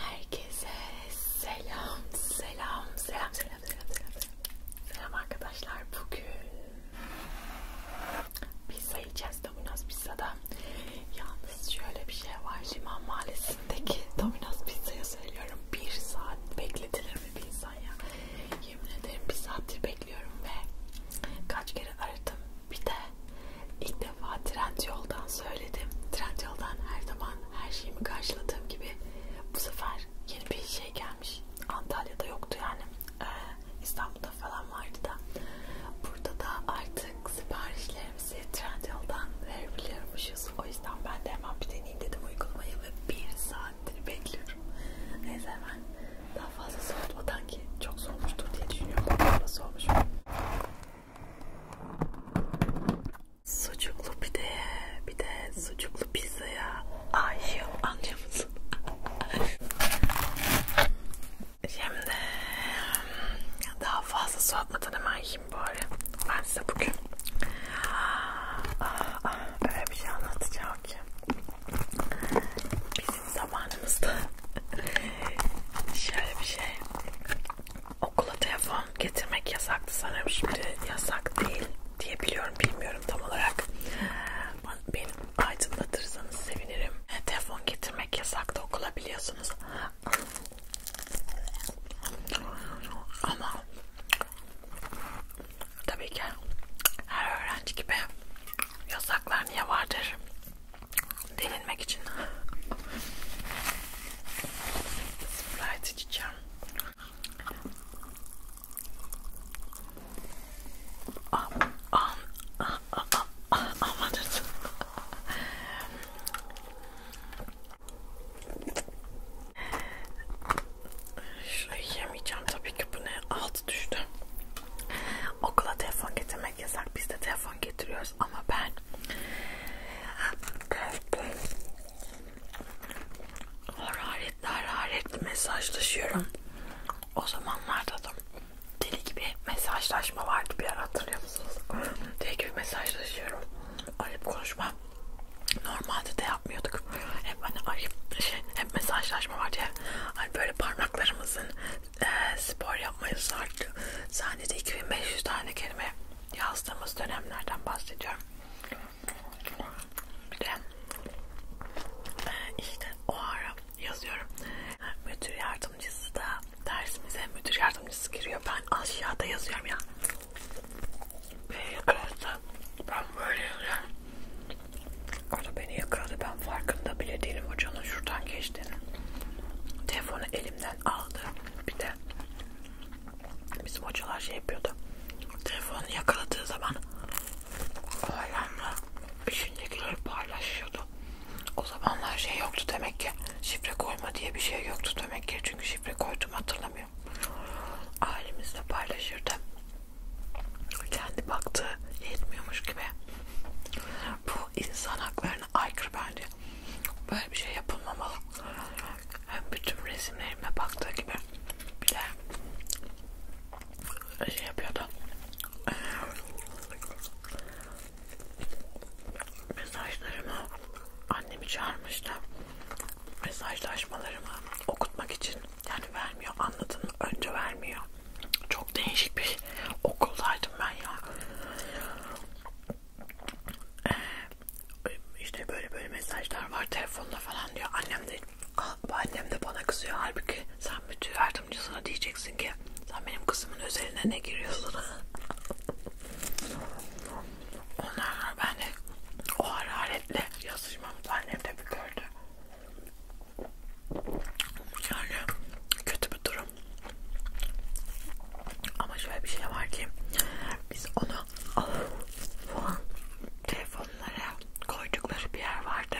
Herkese selam, selam, selam, selam, selam, selam, selam. Selam arkadaşlar. Bugün pizza yiyeceğiz Domino's Pizza'da. Yalnız şöyle bir şey var. Liman Mahallesi'ndeki Domino's Pizza'ya söylüyorum. Bir saat bekletilir mi bir insan ya? Yemin ederim bir saattir bekliyorum ve kaç kere aradım. Bir de ilk defa Trendyol'dan söyledim. Trendyol'dan her zaman her şeyimi karşıladığım gibi bu sefer yeni bir şey gelmiş. Antalya'da yoktu yani. Ee, İstanbul'da falan vardı da. Burada da artık siparişlerimizi Trendyol'dan verebiliyormuşuz. O yüzden ben de hemen bir deneyeyim dedim uygulamayı ve bir saattir bekliyorum. Neyse hemen daha fazla soğutmadan ki çok soğumuştur diye düşünüyorum. Bakalım nasıl olmuş. Sucuklu pideye, bir de sucuklu pizzaya aşığım anlıyor musun? Şimdi daha fazla soğutmadan hemen yiyeyim bari. Ben size bugün aa, ah, aa, ah, ah, öyle bir şey anlatacağım ki bizim zamanımızda şöyle bir şey okula telefon getirmek yasaktı sanırım şimdi yasak değil diye biliyorum bilmiyorum tam olarak beni aydınlatırsanız sevinirim e, telefon getirmek yasaktı okula biliyorsunuz ama tabii ki her öğrenci gibi yasaklar niye vardır delinmek için Sprite içeceğim. Am, am, am, am, am, amanırsın. Şurayı yemeyeceğim tabii ki bu ne? Altı düştü. Okula telefon getirmek yasak. Biz de telefon getiriyoruz ama ben hararetle hararetle mesajlaşıyorum. O zamanlarda da deli gibi mesajlaşma vardı bir ara hatırlıyor musunuz? deli gibi mesajlaşıyorum. Arayıp konuşma. Normalde de yapmıyorduk. Hep hani arayıp şey, hep mesajlaşma vardı ya. Hani böyle parmaklarımızın e, spor yapmayı sardı. Sahnede 2500 tane kelime yazdığımız dönemlerden bahsediyorum. Bir de e, işte o ara yazıyorum. Müdür yardımcısı da dersimize müdür yardımcısı giriyor. Ben aşağıda yazıyorum ya. Beni yakaladı. Ben böyle yazıyorum. Orada beni yakaladı. Ben farkında bile değilim hocanın şuradan geçtiğini. Telefonu elimden aldı. Bir de Bizim hocalar şey yapıyordu. Telefonu yakaladığı zaman öğrenme içindekileri paylaşıyordu. O zamanlar şey yoktu demek ki. Şifre koyma diye bir şey yoktu demek ki. Çünkü şifre koydum hatırlamıyorum. Ailemizle paylaşırdı. Kendi baktığı yetmiyormuş gibi. Bu insan haklarına aykırı bence. Böyle bir şey yapılmamalı. Hem bütün resimlerime baktığı gibi bir de şey yapıyordu. Mesajlarımı annemi çağırmıştı. Mesajlaşmalarımı okutmak için yani vermiyor anladın mı? Önce vermiyor. Çok değişik bir okuldaydım ben ya. Ee, işte böyle böyle mesajlar var telefonla falan diyor. Annem de ah, annem de bana kızıyor. Halbuki sen bütün yardımcısına diyeceksin ki sen benim kızımın özeline ne giriyorsun? Onlar ben de o hararetle yazışmamı annem de bir gördü. Yani kötü bir durum. Ama şöyle bir şey var ki biz onu falan telefonlara koydukları bir yer vardı.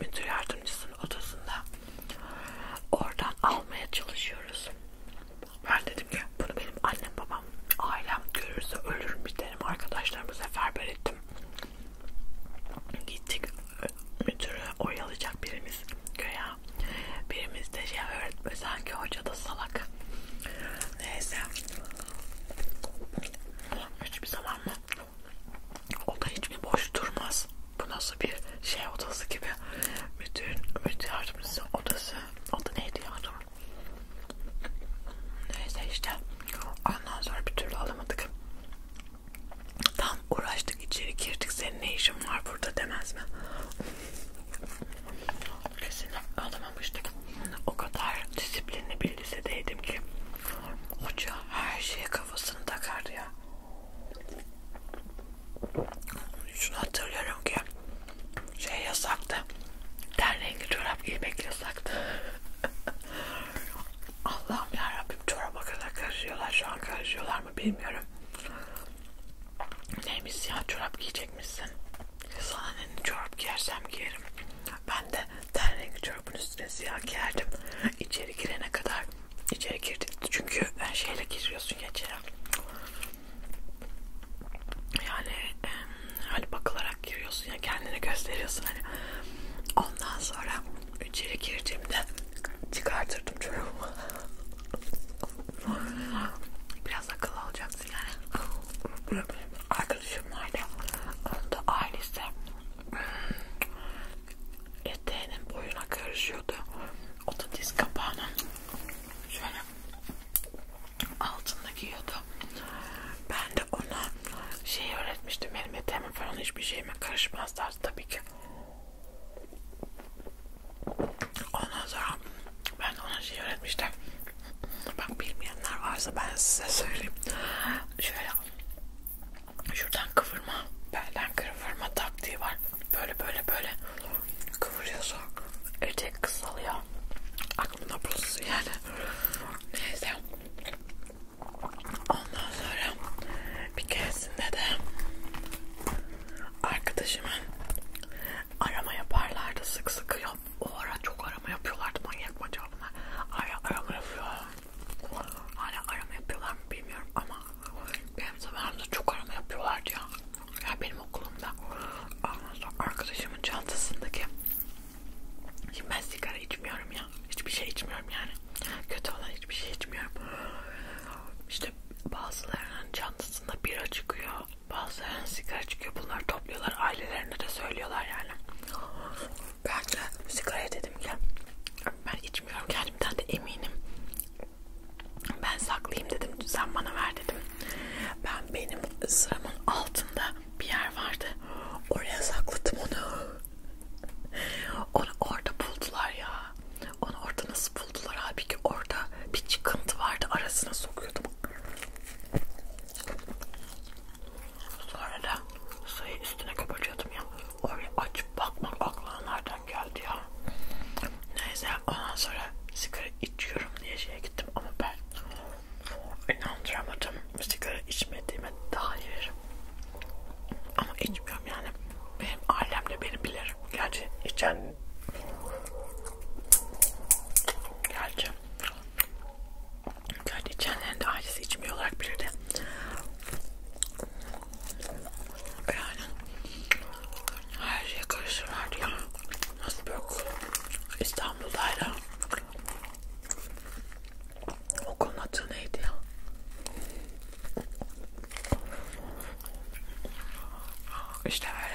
Müdür yardımcısının odasında. Oradan almaya çalışıyoruz. Ben dedim ki bunu benim annem babam ailem görürse ölürüm biterim arkadaşlarımı seferber ettim. Gittik müdürü oyalayacak birimiz köye ya. Birimiz de şey öğretme sanki hoca da salak. Neyse. Hiçbir zaman mı? O da hiç mi boş durmaz? Bu nasıl bir şey odası gibi? Müdür, müdür yardımcısı odası. O da neydi yardım? Neyse işte. Ondan sonra bir türlü alamadık. Tam uğraştık içeri girdik. Senin ne işin var burada demez mi? Kesinlikle alamamıştık. O kadar disiplinli bir lisedeydim ki hoca her şeye kafasını takardı ya. Şunu hatırlıyorum ki şey yasaktı. Ten rengi çorap giymek yasaktı. Allah'ım yarabbim çoraba kadar karışıyorlar. Şu an karışıyorlar mı bilmiyorum. Neymiş ya çorap giyecekmişsin. Sana ne çorap giyersem giyerim. Ben de ten rengi çorabın üstüne siyah giyerdim. İçeri girene kadar içeri girdik. Çünkü ben şeyle giriyorsun ya içeri. Yani e, hani bakılarak giriyorsun ya kendini gösteriyorsun hani. Ondan sonra içeri girdiğimde çıkartırdım çorabımı. Biraz akıllı olacaksın yani. Arkadaşım vardı. Onun da ailesi eteğinin boyuna karışıyordu. O da diz kapağını şöyle altında giyiyordu. Ben de ona şey öğretmiştim. Benim eteğime falan hiçbir şeyime karışmaz tarzı tabii ki. Ondan sonra ben ona şey öğretmiştim. Bak bilmeyenler varsa ben size söyleyeyim. Şöyle şuradan kıvırma, belden kıvırma taktiği var. Böyle böyle böyle kıvırıyorsun. Etek kısalıyor. Aklımda bulsun yani. Neyse. Ondan sonra bir keresinde de arkadaşımın arama yaparlardı sık sık. Yap. O ara çok arama yapıyorlardı manyak mı acaba bunlar? Hala arama yapıyorlar. Hala arama yapıyorlar mı bilmiyorum ama benim zamanımda çok arama yapıyorlardı ya. Ya benim okulumda. Ondan sonra arkadaşımın çantasındaki Şimdi ben sigara içmiyorum ya. Hiçbir şey içmiyorum yani. Kötü olan hiçbir şey içmiyorum. İşte bazılarının çantasında bira çıkıyor. Bazıları sigara çıkıyor. Bunları topluyorlar. Ailelerine de söylüyorlar yani. Ben de sigaraya dedim ki ben içmiyorum kendimden de eminim. Ben saklayayım dedim. Sen bana ver dedim. Ben benim sıramın altında bir yer vardı. Oraya sakladım onu. Onu orada buldular ya. Onu orada nasıl buldular abi ki orada bir çıkıntı vardı arasına sokuyordum. Sonra da sayı üstüne kapatıyordum ya. Oraya açıp bakmak aklına nereden geldi ya. Neyse ondan sonra sigara içiyorum diye şeye gittim ama ben inandıramadım sigara içmediğime dair. Ama içmiyorum yani. Benim ailemde beni bilir. Gerçi içen Gerçi Gerçi içenlerinde ailesi içmiyor olarak bilir de yani her şeye karışırlardı ya nasıl böyle İstanbul'dayla okulun adı neydi ya işte böyle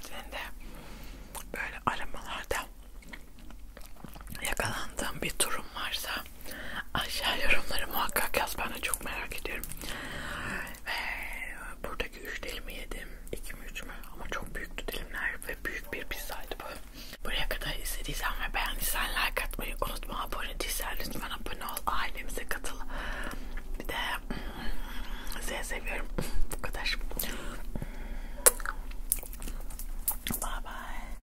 Senin de böyle aramalarda yakalandığım bir durum varsa aşağı yorumları muhakkak yaz. Ben de çok merak ediyorum. Ve buradaki üç dilimi yedim. İki mi üç mü? Ama çok büyüktü dilimler ve büyük bir pizzaydı bu. Buraya kadar izlediysen ve beğendiysen like atmayı unutma. Abone değilsen lütfen abone ol. Ailemize katıl. Bir de sizi hmm, seviyorum. Bu kadar. Bye bye.